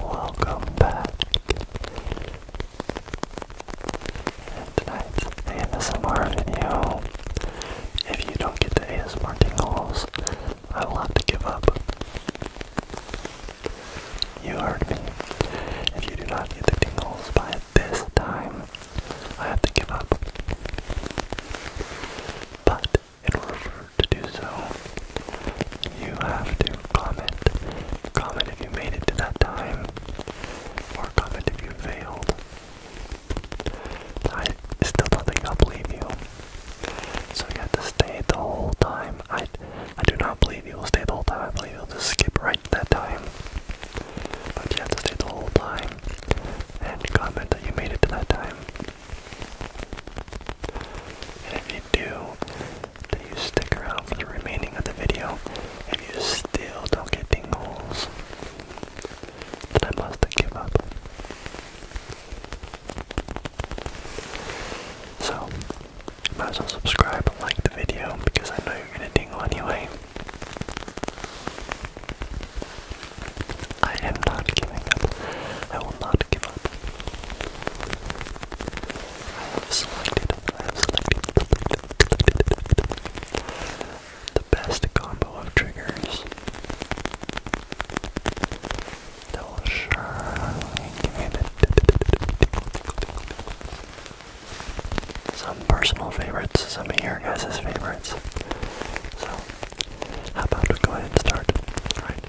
Welcome back. tonight's ASMR video, if you don't get the ASMR tingles, I will have to give up. You heard me. If you do not get the tingles by this time, I have to give up. But in order to do so, you have to comment. Comment if you made it to that time, or comment if you failed. I still don't think I'll believe you. So you have to stay the whole time. I, I do not believe you will stay the whole time. I believe you'll just skip right that time. But you have to stay the whole time and comment that you made it to that time. And if you do, then you stick around for the remaining of the video. If you still don't get tingles, then I must give up. So, might as well subscribe and like the video because I know you're gonna tingle anyway. I am not giving up. I will not give up. I have selected, I have selected the best combo of triggers that will some personal favorites, some of your guys' favorites. So, how about we go ahead and start? Alright.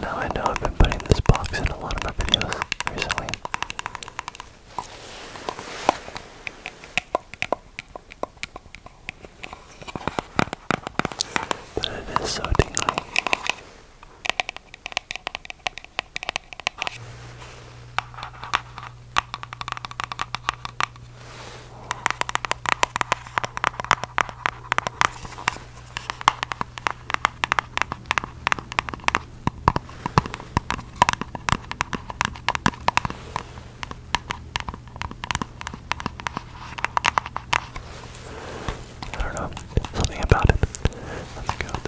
Now I know I've been putting this box in a lot of my videos recently. But it is so dingy. I don't know, something about it. Let's go with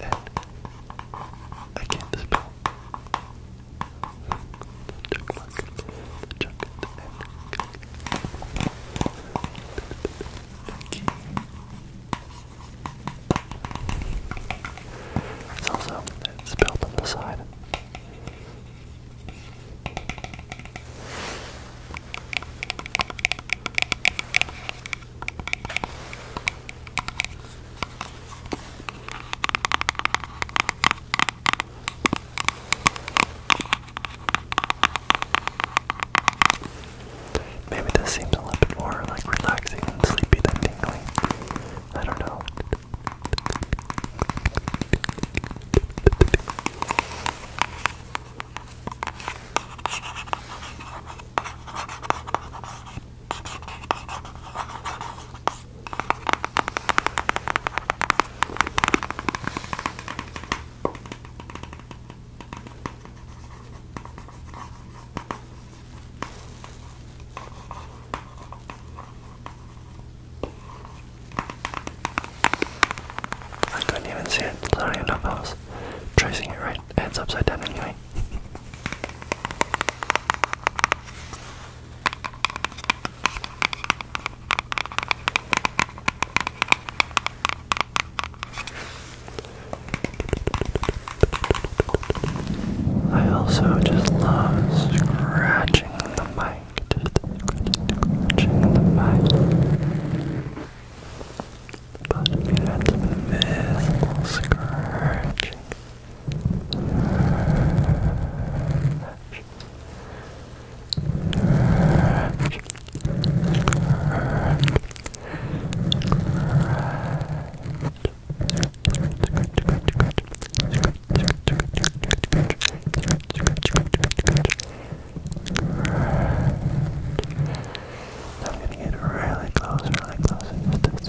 that. I can't spell. It's also it's built on the side. Maybe this seems a little bit more like relaxing and sleepy than tingly. I don't know. I couldn't even see it. Sorry enough I tracing it right. Head's upside down anyway. I also just love scratching the mic, scratching the mic. But we had scratching. I'm gonna get really close, really close.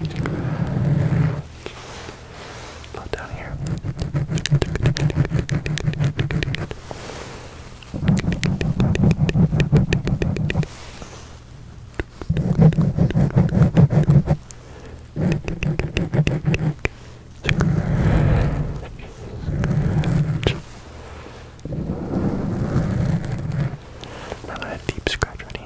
Not down here. Not a deep scratch right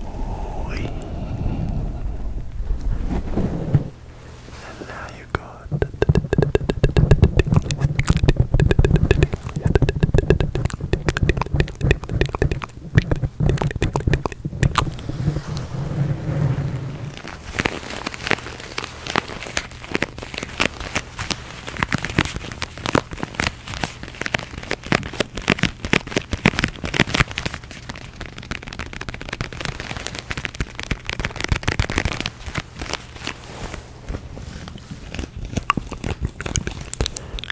sweet. And now you got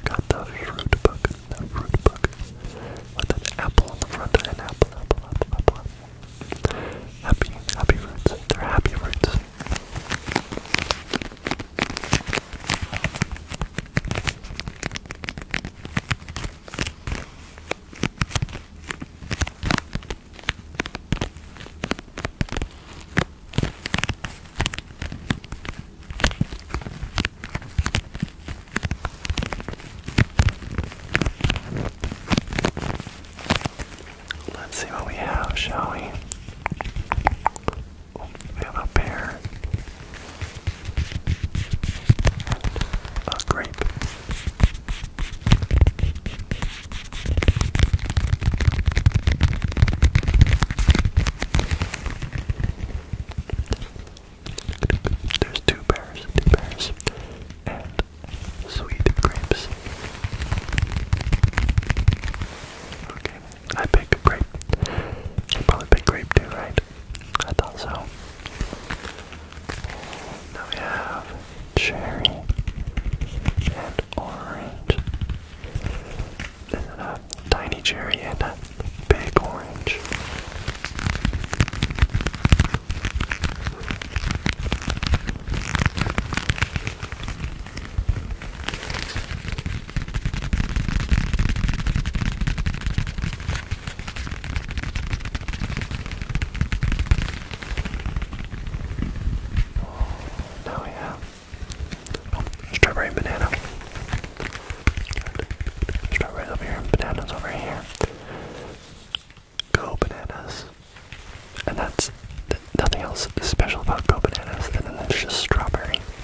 Got the fruit book, the fruit book. With an apple on the front, an apple, apple, apple, apple. Happy, happy roots. They're happy roots. Let's see what we have, shall we? we have a pear. And a grape. There's two bears, two pears, and sweet grapes. Okay, I pick grape. You probably pick grape too, right? I thought so. Now we have cherry and orange. This is a tiny cherry and a big orange. Oh yeah. Oh, strawberry and banana. Strawberries over here, bananas over here. Go bananas. And that's nothing else special about go bananas. And then there's just strawberry.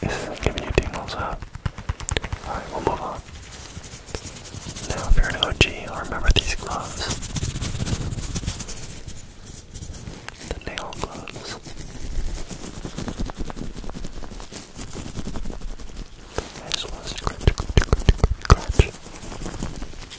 This isn't giving you tingles, huh? Alright, we'll move on. Now, if you're an OG, i remember these gloves. The nail gloves. I just want to scratch, scratch, scratch, scratch.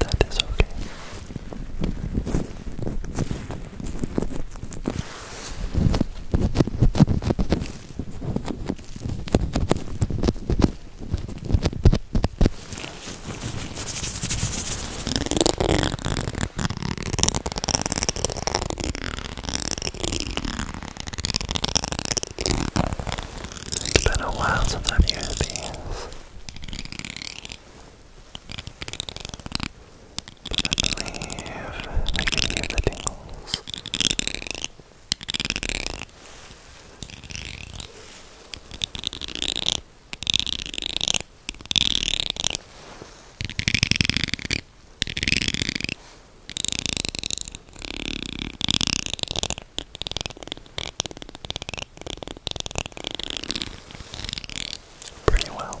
That is okay. It's been a while since I've used these. But I believe I can hear the tingles pretty well.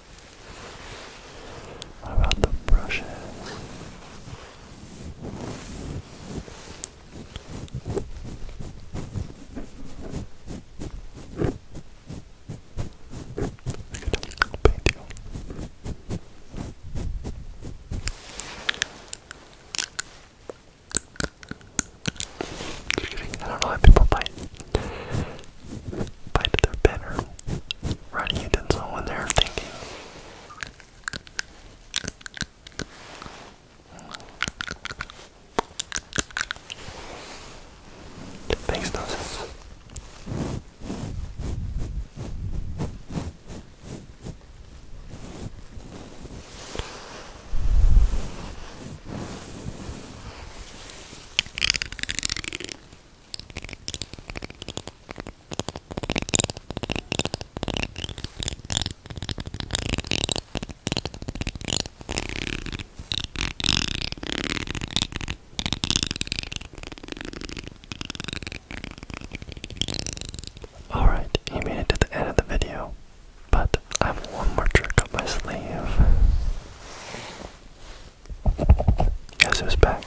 around the brushes. Paint you. Just kidding. I don't know how people paint bite their pen or writing utensil when they're thinking. It makes no Alright, you made it to the end of the video, but I have one more trick up my sleeve. Guess who's back?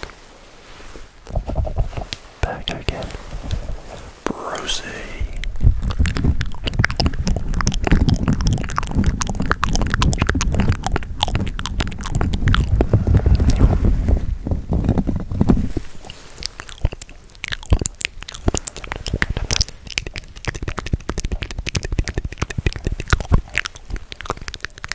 Back again. Brucey.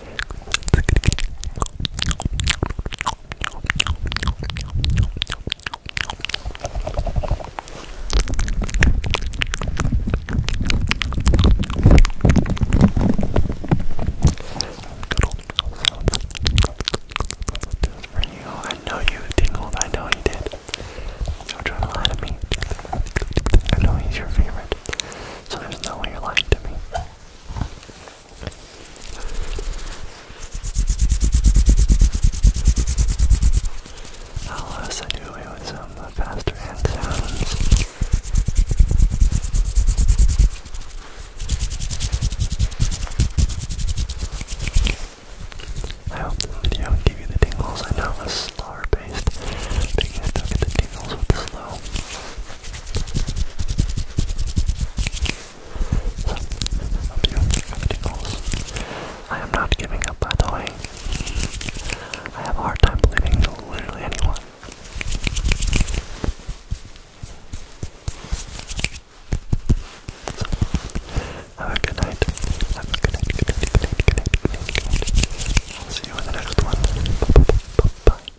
you. I know you tingled. I know you did. Don't try to lie to me. I know he's your favorite. So there's no way you're lying to me. I'll uh, with some faster hand sounds. I hope the video will give you the tingles. I know it was slower paced, but you get the tingles with the slow. I am not giving up, by the way. I have a hard time believing literally anyone. have a good night. Have a good night, good night, good night, good night, good night, good night. see you in the next one. -bye, -bye, -bye.